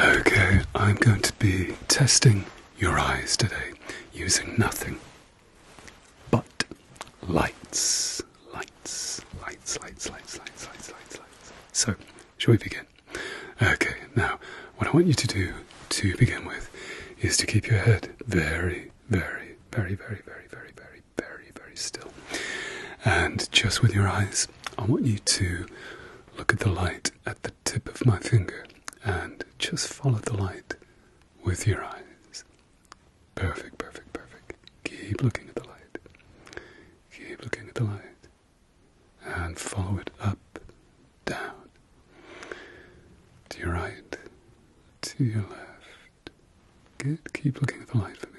Okay, I'm going to be testing your eyes today using nothing but lights. Lights, lights, lights, lights, lights, lights, lights, lights. So, shall we begin? Okay, now, what I want you to do to begin with is to keep your head very, very, very, very, very, very, very, very, very still. And just with your eyes, I want you to Look at the light at the tip of my finger and just follow the light with your eyes. Perfect, perfect, perfect. Keep looking at the light. Keep looking at the light. And follow it up, down, to your right, to your left. Good. Keep looking at the light for me.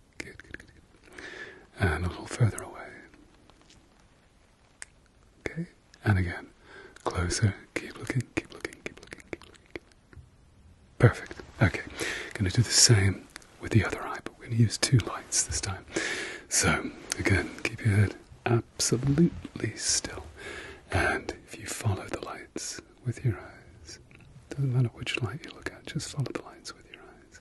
and a little further away. Okay, and again, closer. Keep looking, keep looking, keep looking, keep looking. Perfect. Okay, going to do the same with the other eye, but we're going to use two lights this time. So, again, keep your head absolutely still. And if you follow the lights with your eyes, doesn't matter which light you look at, just follow the lights with your eyes.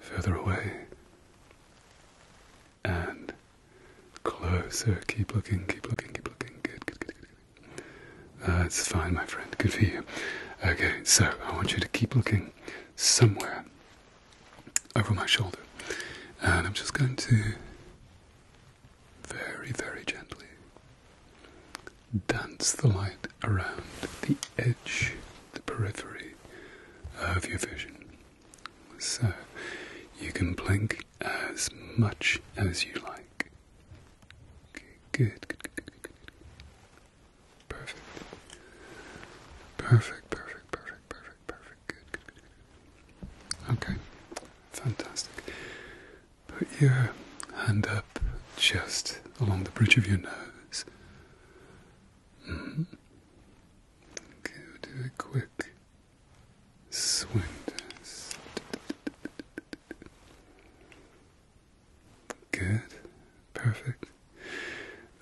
further away and closer. Keep looking, keep looking, keep looking. Good, good, good, good. That's uh, fine, my friend. Good for you. Okay, so I want you to keep looking somewhere over my shoulder, and I'm just going to very, very gently dance the light it around the edge, the periphery of your vision. So you can blink as much as you like. Okay, good, good, good, good, good, good. Perfect. Perfect, perfect, perfect, perfect, perfect. Good, good, good. Okay, fantastic. Put your hand up just along the bridge of your nose. Okay, we'll do a quick swim Good, perfect.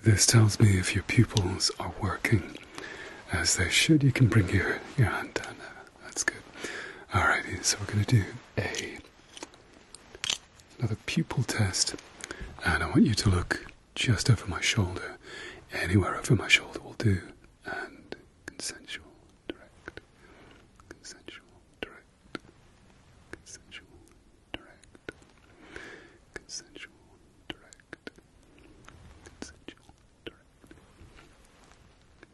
This tells me if your pupils are working as they should. You can bring your, your hand down now. That's good. Alrighty, so we're going to do a another pupil test, and I want you to look just over my shoulder. Anywhere over my shoulder will do. And consensual, direct, consensual, direct, consensual, direct, consensual, direct, consensual, direct,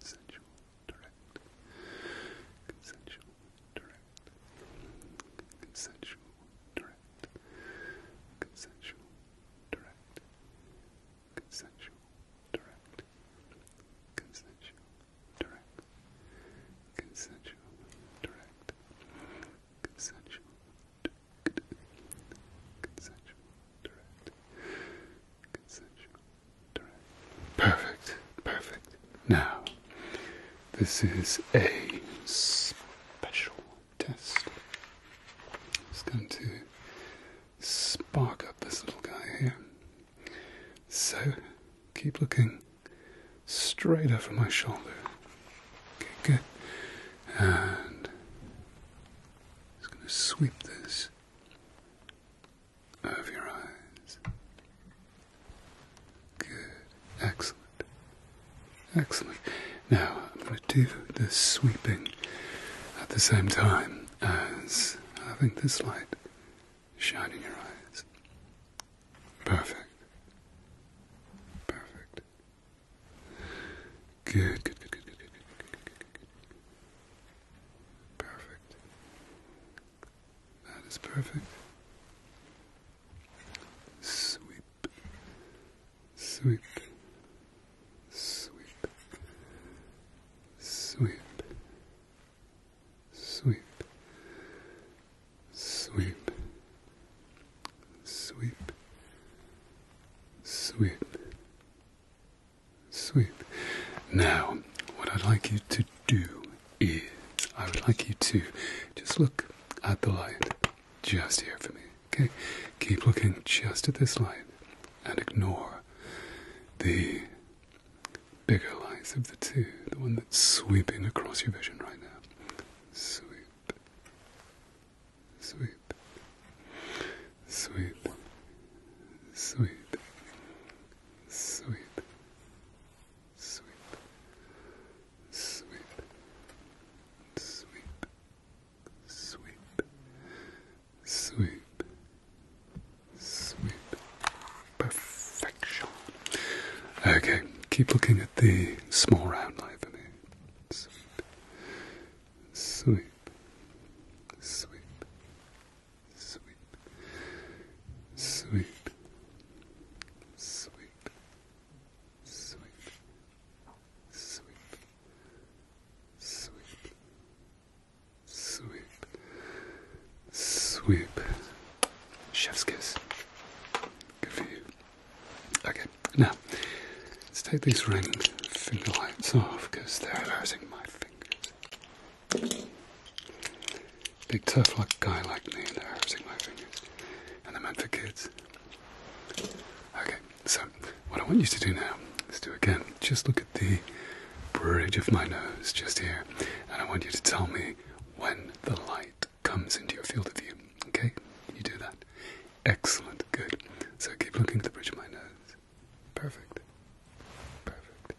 consensual, direct, consensual, direct, consensual, direct, consensual, direct, consensual, direct, consensual, direct, consensual, direct, consensual, direct, consensual, direct, consensual, direct. Perfect, perfect. Now, this is a special test. It's going to spark up this little guy here. So, keep looking straight over my shoulder. Okay, good. And it's going to sweep this over your eyes. Good. Excellent. Excellent. Now I'm going to do the sweeping at the same time as having this light shining your eyes. Perfect. Perfect. good, good, good, good, good, good. Perfect. That is perfect. Sweep, sweep, sweep, sweep, sweep, sweep, sweep, sweep, sweep. Now, what I'd like you to do is, I would like you to just look at the light just here for me, okay? Keep looking just at this light and ignore the bigger lights of the two, the one that's sweeping across your vision right now. Sweep, sweep, sweep, sweep, sweep, sweep, sweep, sweep, sweep, sweep, sweep. Perfection. Okay, keep looking at the small round line for me. Sweep, sweep, sweep, sweep, Sweet, sweet, sweet, sweet, sweet, sweet, sweep. Chef's kiss. Good for you. Okay, now let's take these ring finger lights off because they're hurting my fingers. Big tough luck guy like me there, using my fingers. And they're meant for kids. Okay, so what I want you to do now is do again. Just look at the bridge of my nose just here. And I want you to tell me when the light comes into your field of view. Okay? You do that. Excellent. Good. So keep looking at the bridge of my nose. Perfect. Perfect.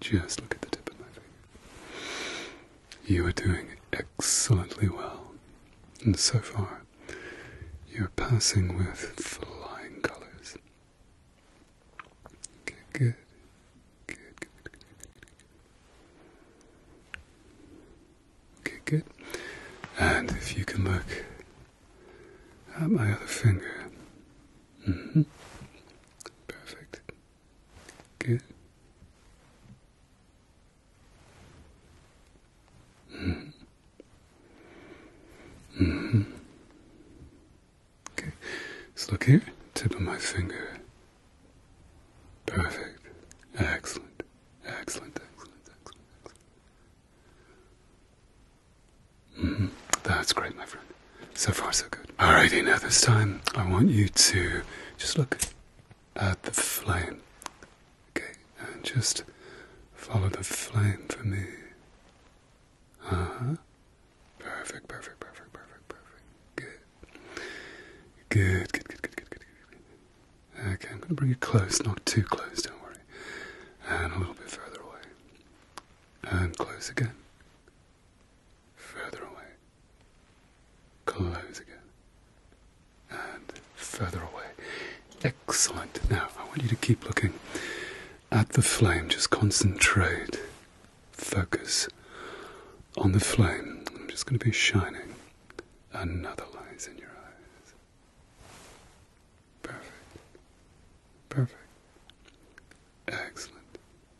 just look at the tip of my finger. You are doing excellently well, and so far, you're passing with flying colors. Okay, good. Okay, good. And if you can look at my other finger. Mm-hmm. Perfect. Okay. Mm hmm. hmm. Okay. So look here. Tip of my finger. Perfect. Excellent. Excellent. Excellent. Excellent. -hmm. That's great, my friend. So far, so good. Alrighty, now this time I want you to just look at the flame. Okay, and just follow the flame for me. Uh huh. Perfect, perfect, perfect, perfect, perfect. Good. Good, good, good, good, good, good, good. Okay, I'm going to bring it close, not too close, don't worry. And a little bit further away. And close again further away, close again, and further away. Excellent. Now, I want you to keep looking at the flame, just concentrate, focus on the flame. I'm just going to be shining another light in your eyes. Perfect. Perfect. Excellent.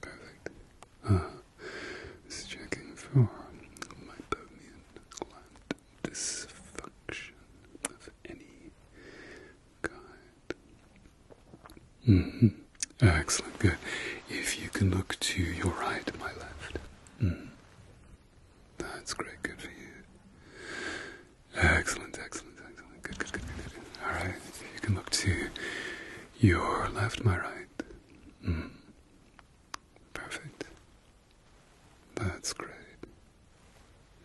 Perfect. Uh, checking for meibomian gland dysfunction of any kind. Mm-hmm. Excellent, good. If you can look to your right, my left. Mm. That's great, good for you. Excellent, excellent, excellent. Good, good, good, All right. You can look to your left, my right. Hmm. Perfect. That's great.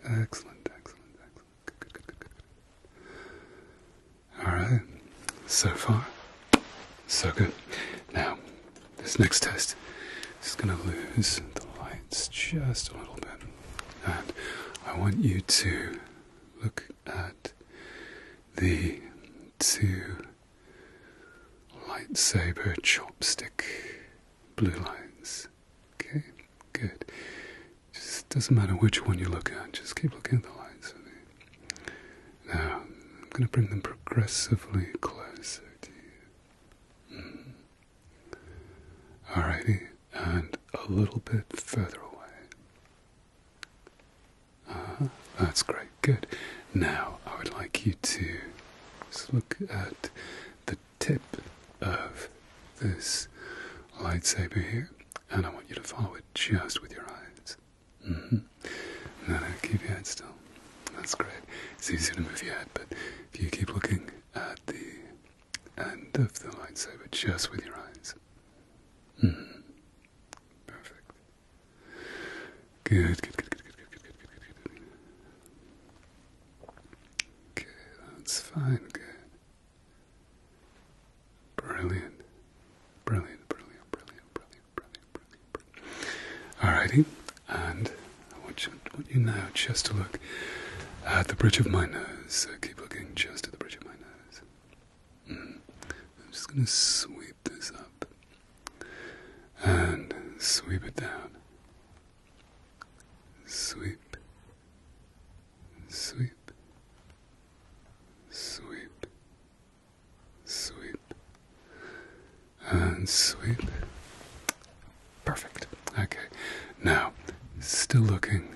Excellent, excellent, excellent. good, good, good. All right. So far, so good. Now, this next test is going to lose the lights just a little bit. And I want you to look at the two lightsaber chopstick blue lines. Okay, good. Just doesn't matter which one you look at, just keep looking at the lines Now, I'm going to bring them progressively closer to you. Mm. Alrighty and a little bit further away. Ah, that's great, good. Now I would like you to just look at the tip of this lightsaber here, and I want you to follow it just with your eyes. Mm -hmm. No, no, keep your head still. That's great. It's easy to move your head, but if you keep looking at the and of the lightsaber just with your eyes. Mm-hmm. Perfect. Good, good, good, good, good, good, good, good, good, that's fine, good. Brilliant. Brilliant, brilliant, brilliant, brilliant, brilliant, brilliant, Alrighty, and I want you, want you now just to look at the bridge of my nose. So keep looking just the bridge of my nose. Mm. I'm just going to sweep this up and sweep it down. Sweep, sweep, sweep, sweep, and sweep. Perfect. Okay. Now, still looking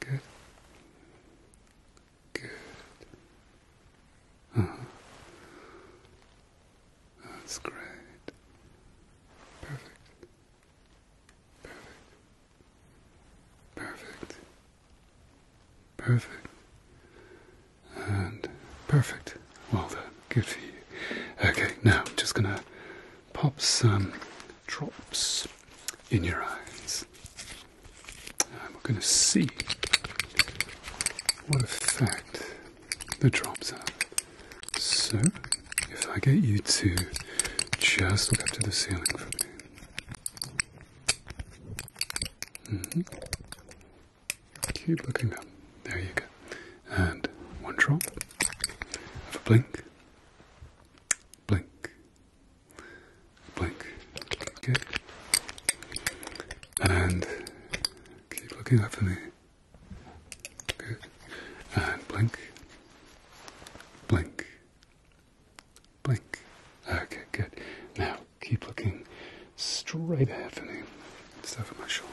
Good. Good. Uh -huh. That's great. Perfect. Perfect. Perfect. Perfect. And perfect. Well done. Good for you. Okay, now I'm just gonna pop some um, drops in your eyes. we're going to see what effect the drops have. So, if I get you to just look up to the ceiling for me. Mm-hmm. Keep looking up. There you go. And one drop. Have a blink blink, blink. Good. And keep looking up for me. Good. And blink, blink, blink. Okay, good. Now keep looking straight ahead for me. It's over my shoulder.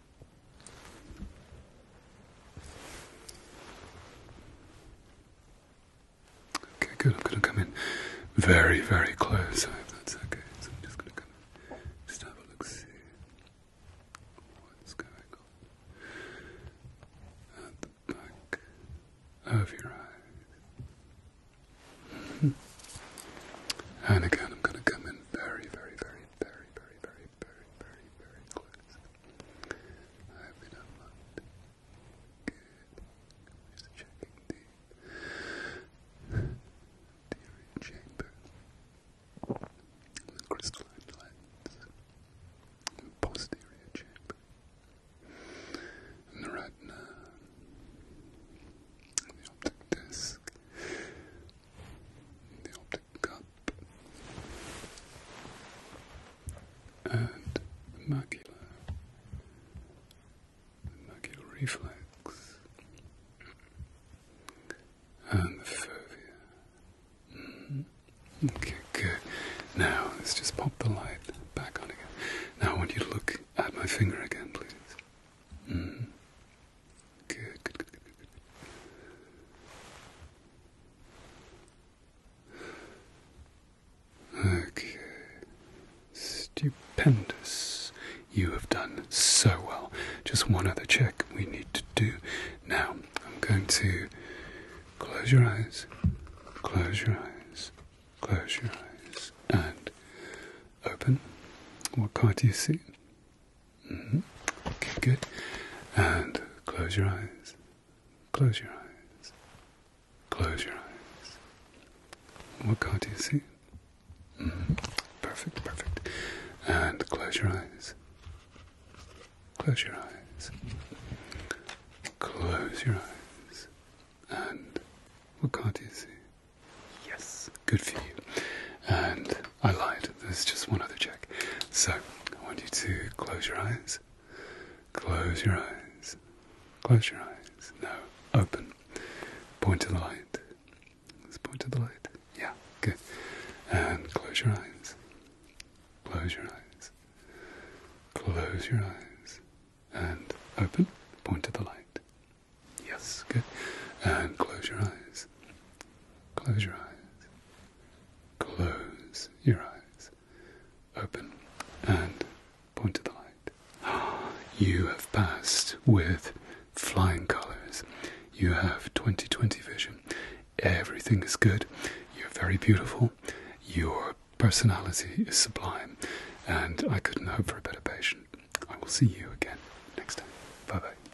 Okay, good. I'm going to come in very, very close. I hope that's okay. So I'm just going to Just have a look, see what's going on at the back of your eyes. and again, I'm going to come in very, very, very, very, very, very very, very, very, close. I have been don't Good. checking the the chamber. The crystalline lens. The posterior chamber. the retina. the optic disc cup and the macula, reflex, and the fovea. Hmm. Okay, good. Now let's just pop the light back on again. Now I want you to look at my finger again, please. Hmm. Good, Okay. Stupendous. You have done so well. Just one other check we need to do. Now, I'm going to close your eyes, close your eyes, close your eyes, and open. What card do you see? Mm-hmm. Okay, good. And close your eyes. Close your eyes. Close your eyes. What can't you see? Mm-hmm. Perfect, perfect. And close your eyes. Close your eyes. Close your eyes. And what can't you see? Yes. Good for you. And I lied. There's just one other check. So I want you to close your eyes. Close your eyes. Close your eyes. No. Open. Point to the light. Let's point to the light. Yeah. Good. And close your eyes. Close your eyes. Close your eyes. And open. Point to the light. Yes. Good. And close your eyes. Close your eyes. Close your eyes. Open and point to the light. You have passed with flying colors. You have 2020 vision. Everything is good. You're very beautiful. Your personality is sublime. And I couldn't hope for a better patient. I will see you again next time. Bye bye.